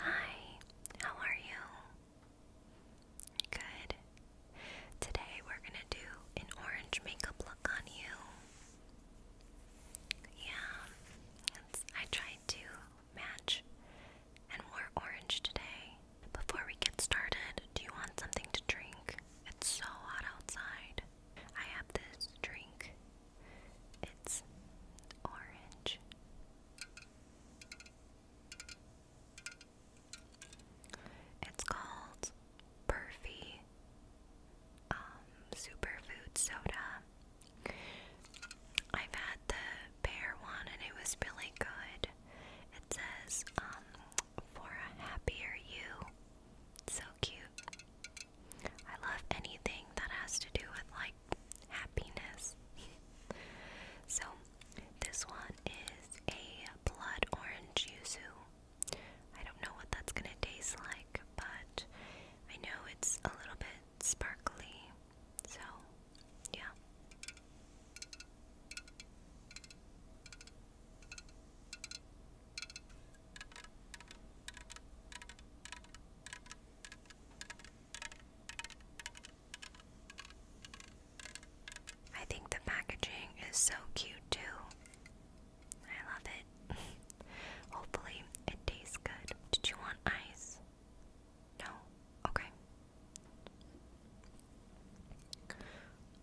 Hi, how are you? Good. Today we're gonna do an orange makeup look on you. Yeah, I tried to match and wore orange today. Before we get started, do you want something to drink? It's so hot outside. I have this drink. It's orange. It's called Perfy um, Superfood Soda. I've had the pear one and it was really good. It says, um, for a happier you. So cute. I love anything that has to do with like happiness. so, this one is a blood orange yuzu. I don't know what that's gonna taste like, but I know it's a little bit sparkly. So, yeah. I think the packaging is so cute too. I love it. Hopefully, it tastes good. Did you want ice? No? Okay.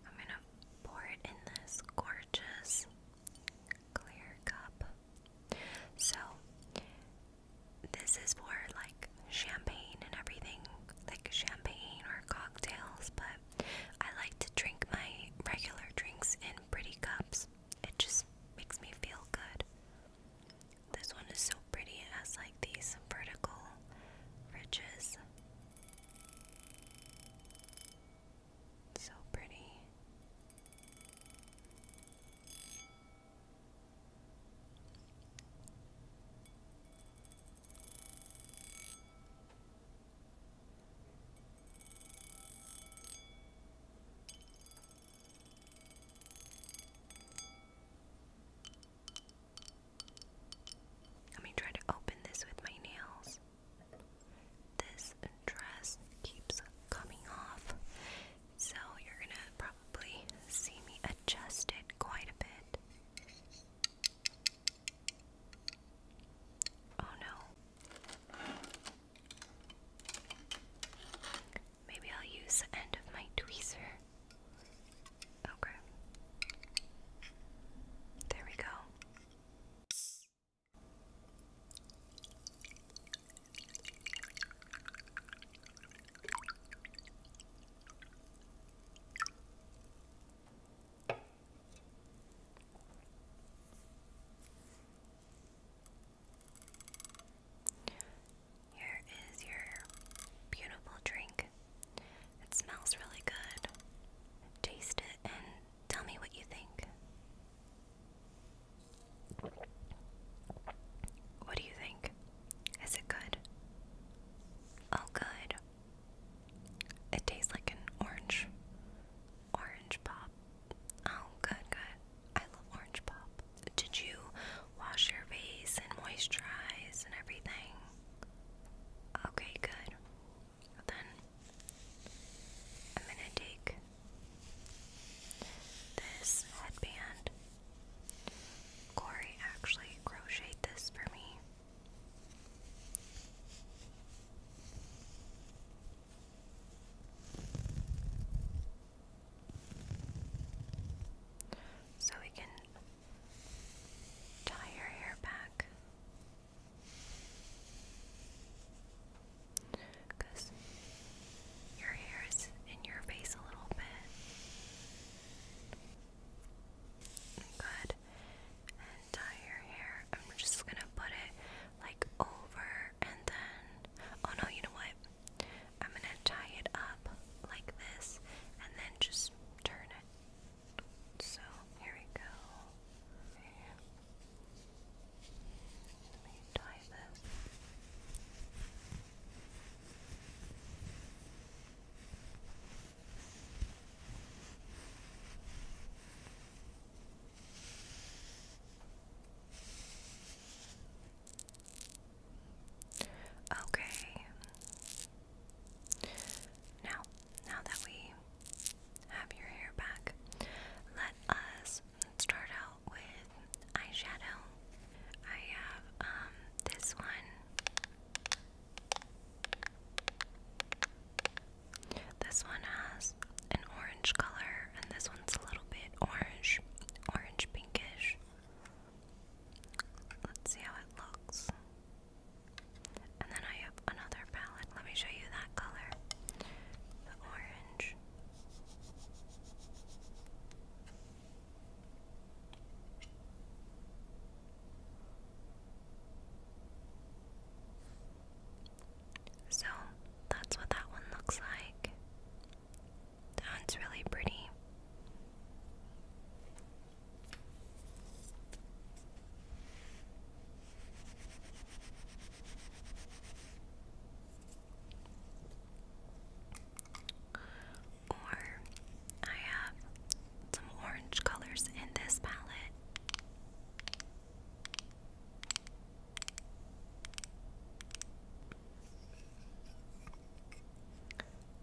I'm gonna pour it in this gorgeous clear cup. So this is for like champagne and everything, like champagne or cocktails, but I like to drink my regular drinks in pretty cups. It just makes me feel good. This one is so pretty. It has like these vertical ridges. So pretty. Let me try to open this with my nails. This dress keeps coming off. So you're going to probably see me adjust it quite a bit. Oh no. Maybe I'll use the end of my tweezer. Okay. There we go. Here is your beautiful drink. It smells really good. Taste it and tell me what you think. What do you think? Is it good? Oh, good. It tastes like an orange. Orange pop. Oh, good, good. I love orange pop. Did you wash your face and moisturize and everything? Okay, good. Then I'm gonna take this headband Corey actually crocheted this for me. So we can tie your hair back because your hair is in your face a little bit. Good. And tie your hair. I'm just gonna put it like over and then. Oh no, you know what? I'm gonna tie it up like this and then just turn it. So here we go. Let me tie this. Okay. Now, now that we have your hair back, let us let's start out with eyeshadow. I have um this one. This one has an orange color and this one's a little bit orange, orange pinkish. Let's see how it looks. And then I have another palette. Let me show you that color. The orange. So that's what that one looks like. That's really pretty. Or I have some orange colors in this palette.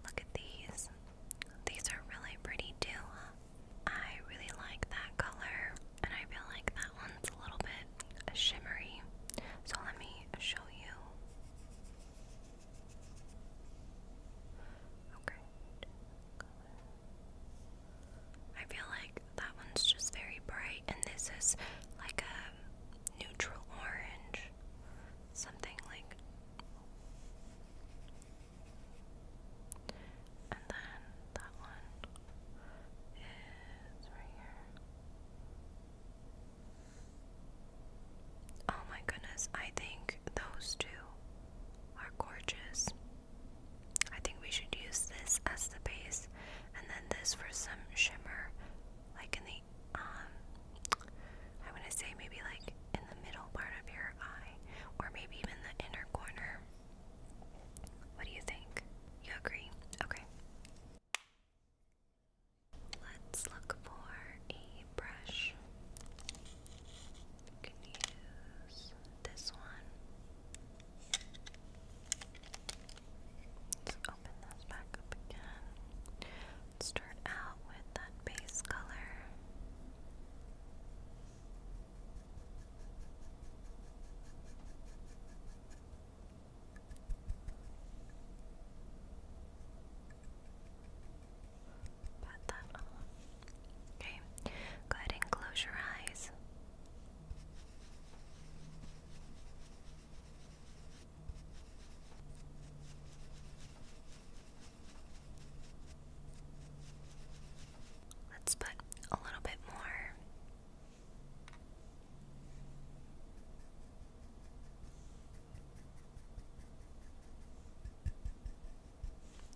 Look at these. These are really pretty too. I really like that color, and I feel like that one's a little bit shimmery. So let me show you. Okay. I feel like that one's just very bright, and this is like a neutral orange. Something like. And then that one is right here. Oh my goodness, I think those two are gorgeous. I think we should use this as the base and then this for some shimmer like in the um I want to say maybe like in the middle part of your eye or maybe even the inner corner. What do you think? You agree? Okay. Let's look for a brush. You can use this one. Let's open this back up again. Start out with that base color. Okay, go ahead and close your eyes. Let's put a little bit more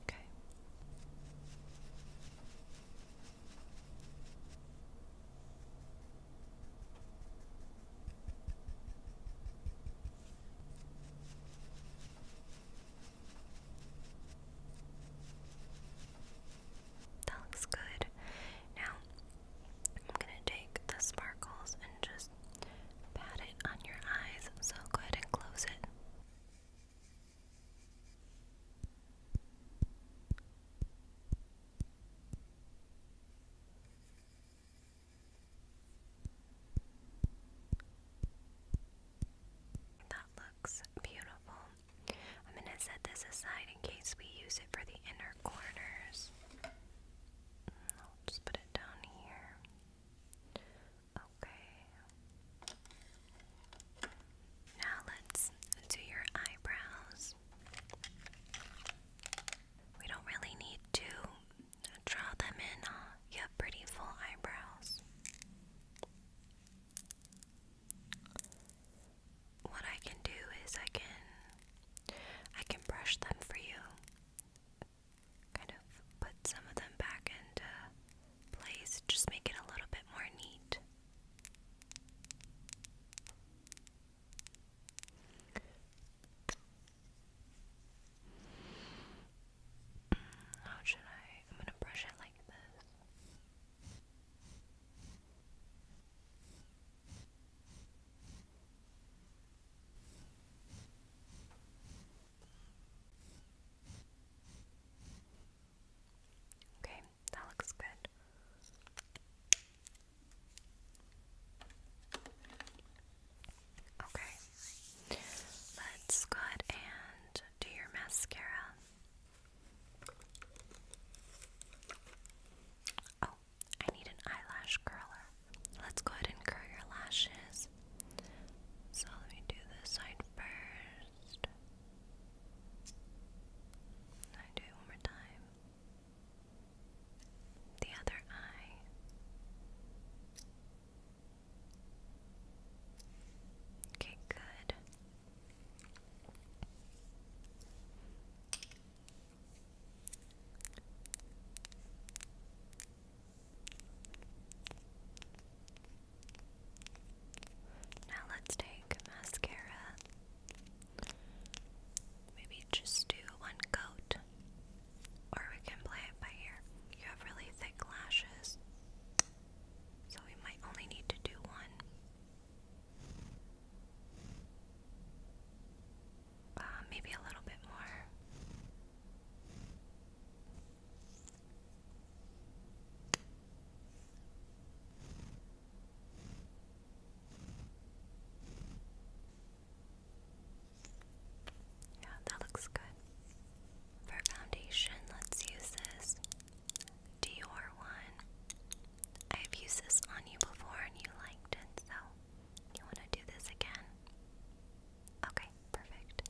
Okay. That looks good. Now, I'm gonna take the sparkles and just pat it on your eyes. So go ahead and close it. That looks beautiful. I'm going to set this aside in case we use it for the inner corners. I'll just put it down here. Okay. Now let's do your eyebrows. We don't really need to draw them in. Uh, you have pretty full eyebrows. What I can do is I can I can brush them for you. Kind of put some of them back into place, just make it a little bit more neat. How should I? I'm gonna brush it like this. Okay, that looks good. Okay, let's go ahead and do your mascara. Oh, I need an eyelash curler. Let's go ahead and curl your lashes. So let me do this side first. I do it one more time. The other eye. Okay, good. Now let's take mascara. Maybe just do one coat. Or we can play it by ear. You have really thick lashes. So we might only need to do one. Uh, maybe a little bit more. Yeah, that looks good. For foundation, let's use this Dior one. I've used this on you before and you liked it, so you want to do this again? Okay, perfect.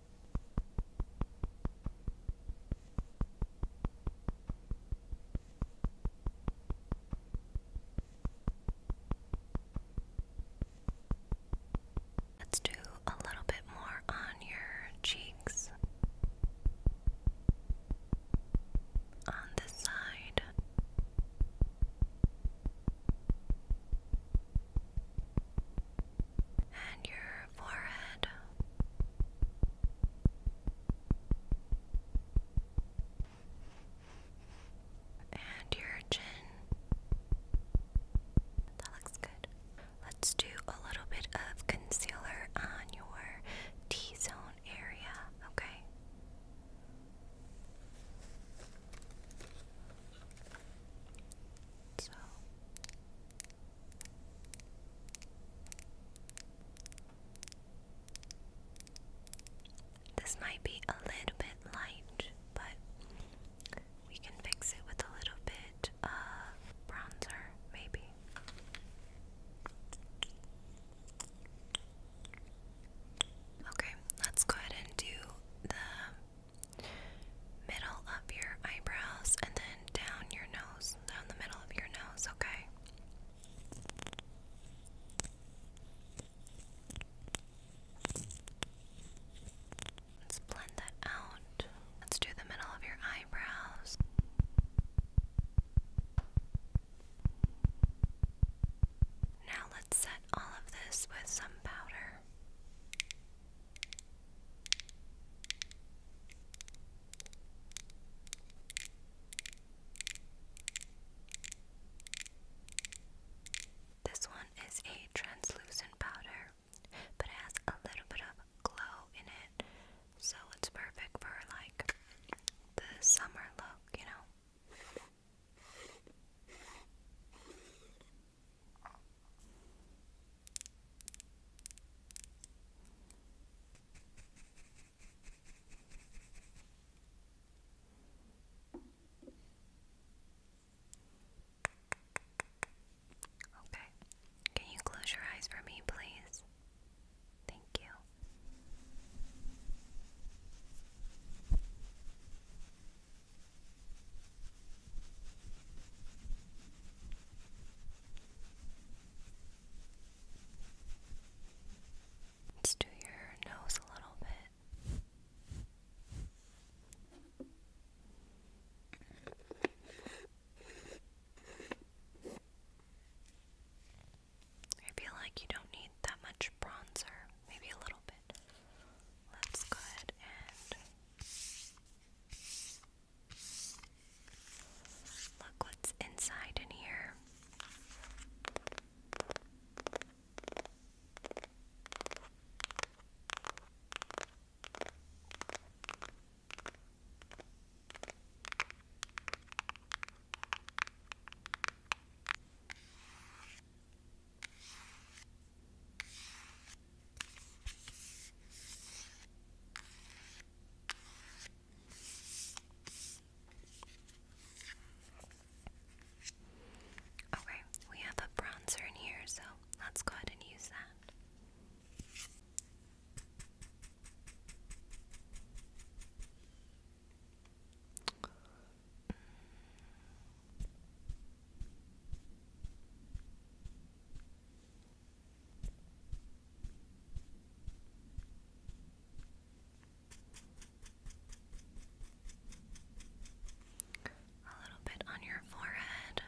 Let's do a little bit more on your cheeks on this side and your forehead. And your chin. That looks good. Let's do a little bit of concealer on your T zone area, okay? So this might be a little bit light, but we can fix it with a little bit of bronzer, maybe. Okay, let's go ahead and do the middle of your eyebrows and then down your nose, down the middle of your nose, okay? Let's blend that out. Let's do the middle of your eyebrows. Now let's set all of this with some powder. This one is a translucent powder, but it has a little bit of glow in it, so it's perfect for like the summer look, you know. Okay. Can you close your eyes for me, please? Thank you. Let's do your nose a little bit. I feel like you don't need that much bronzer, maybe a little bit. Let's go ahead and Look what's inside in here. Okay, we have a bronzer in here, so let's go ahead and use that. A little bit on your forehead.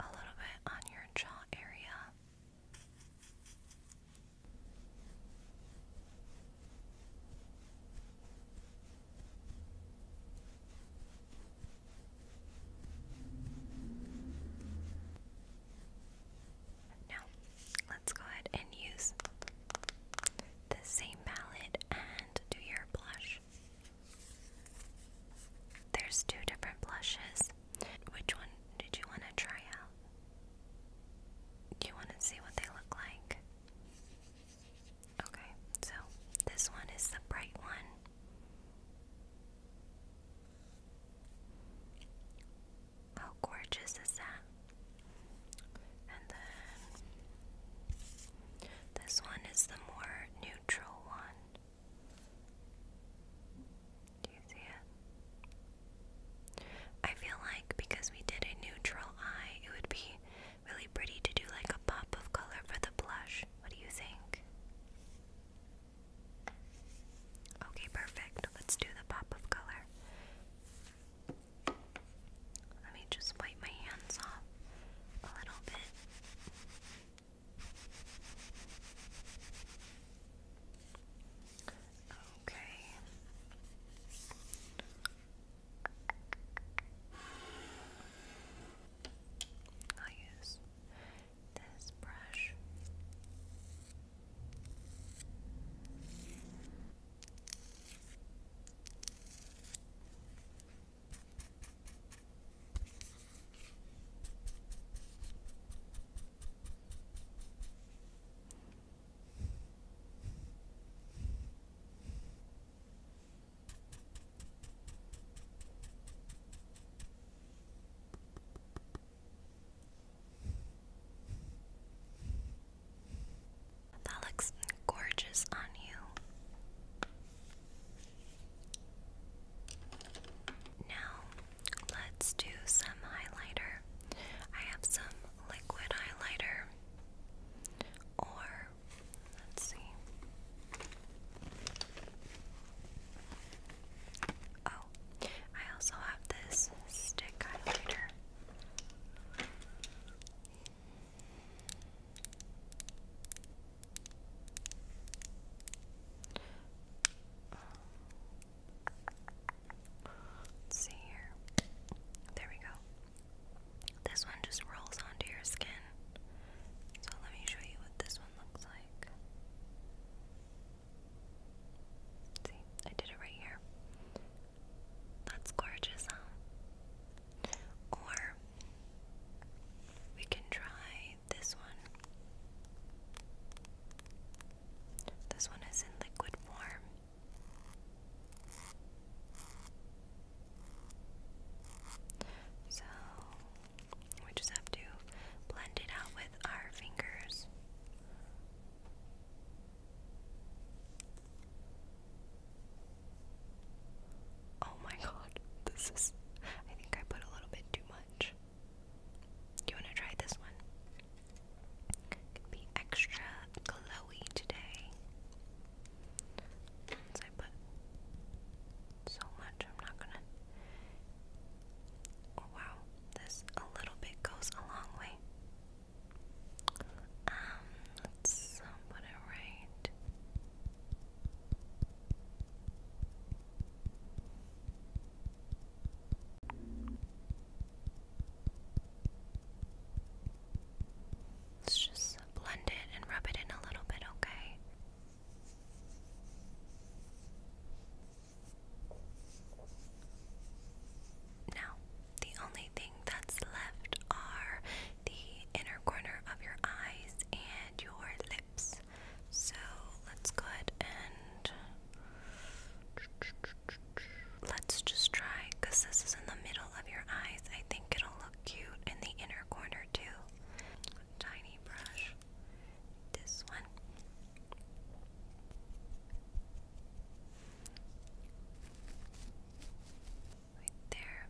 A little bit on your jaw area. Now, let's go ahead and use the same palette and do your blush. There's two different blushes. Which one did you want to try out? Do you want to see what they look like? Okay, so this one is the bright one. How gorgeous is that? And then this one is the more neutral one. Do you see it? I feel like because we did a neutral eye, it would be Really pretty to do like a pop of color for the blush. What do you think? Okay, perfect. Let's do the pop of color. Let me just wipe my hands off a little bit. Okay. I'll use this brush. That looks gorgeous on you. Now, let's do some highlighter. I have some liquid highlighter or, let's see. Oh, I also have this stick highlighter. see here. There we go. This one just rolls onto your skin. So let me show you what this one looks like. See, I did it right here. That's gorgeous, huh? Or we can try this one. This one is in liquid form. So we just have to blend it out with our fingers. Oh my god, this is. I think I put a little bit too much. You want to try this one? It can be extra glow glowy today. Since I put so much, I'm not gonna. Oh, wow, this a little bit goes a long way. Um, let's um, put it right. Let's just blend it and rub it in a little bit, okay? Now, the only thing that's left are the inner corner of your eyes and your lips. So let's go ahead and let's just try because this is in the middle of your eyes. I it'll look cute in the inner corner too. Tiny brush. This one. Right there.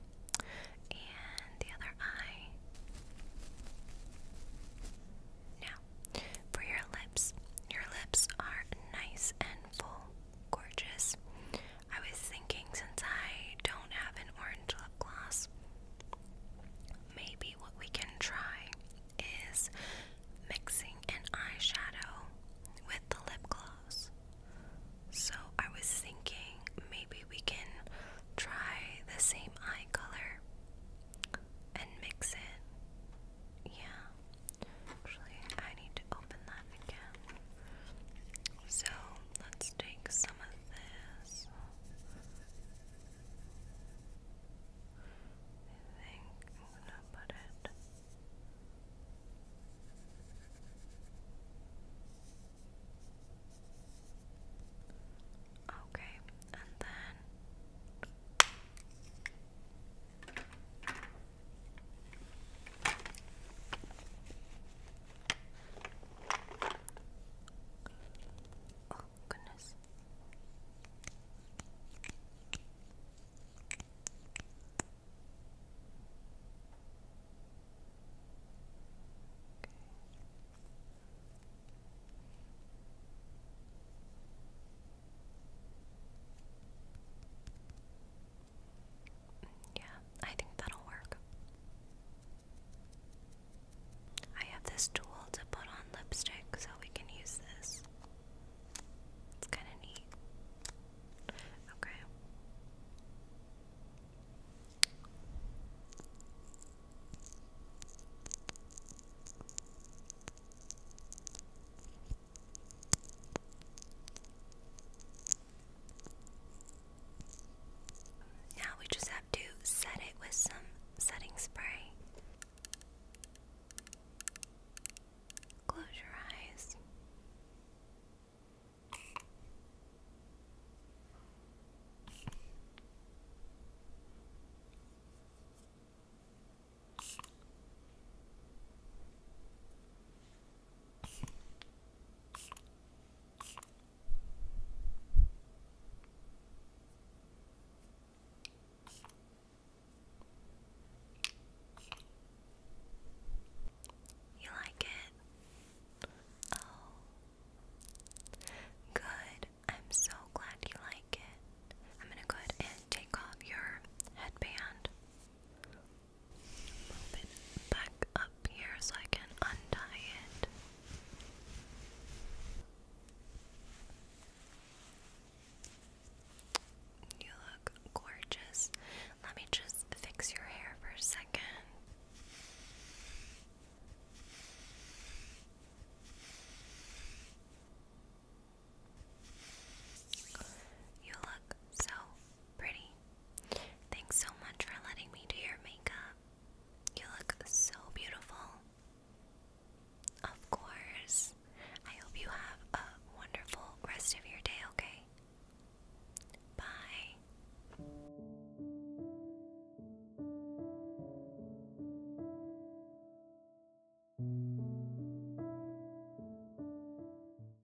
And the other eye. Now, for your lips. Your lips are nice and full, gorgeous. I was thinking since I don't have an orange lip gloss, maybe what we can try is mixing an eyeshadow with the lip gloss. So I was thinking maybe we can try the same eye color and mix it. Yeah. Actually, I need to open that again. So let's take some of this. I think I'm gonna put it. Okay, and then Oh, goodness. Okay. Yeah, I think that'll work. I have this tool to put on lipstick so we can use this. It's kind of neat. Okay. Now we just have to set it with some setting spray. Close your eyes. You like it? Oh. Good. I'm so glad you like it. I'm going to go ahead and take off your headband move it back up here so I can untie it. You look gorgeous. Let me just fix your hair for a second. You look so pretty. Thanks so much for letting me do your makeup. You look so beautiful. Of course. I hope you have a wonderful rest of your day, okay? Bye.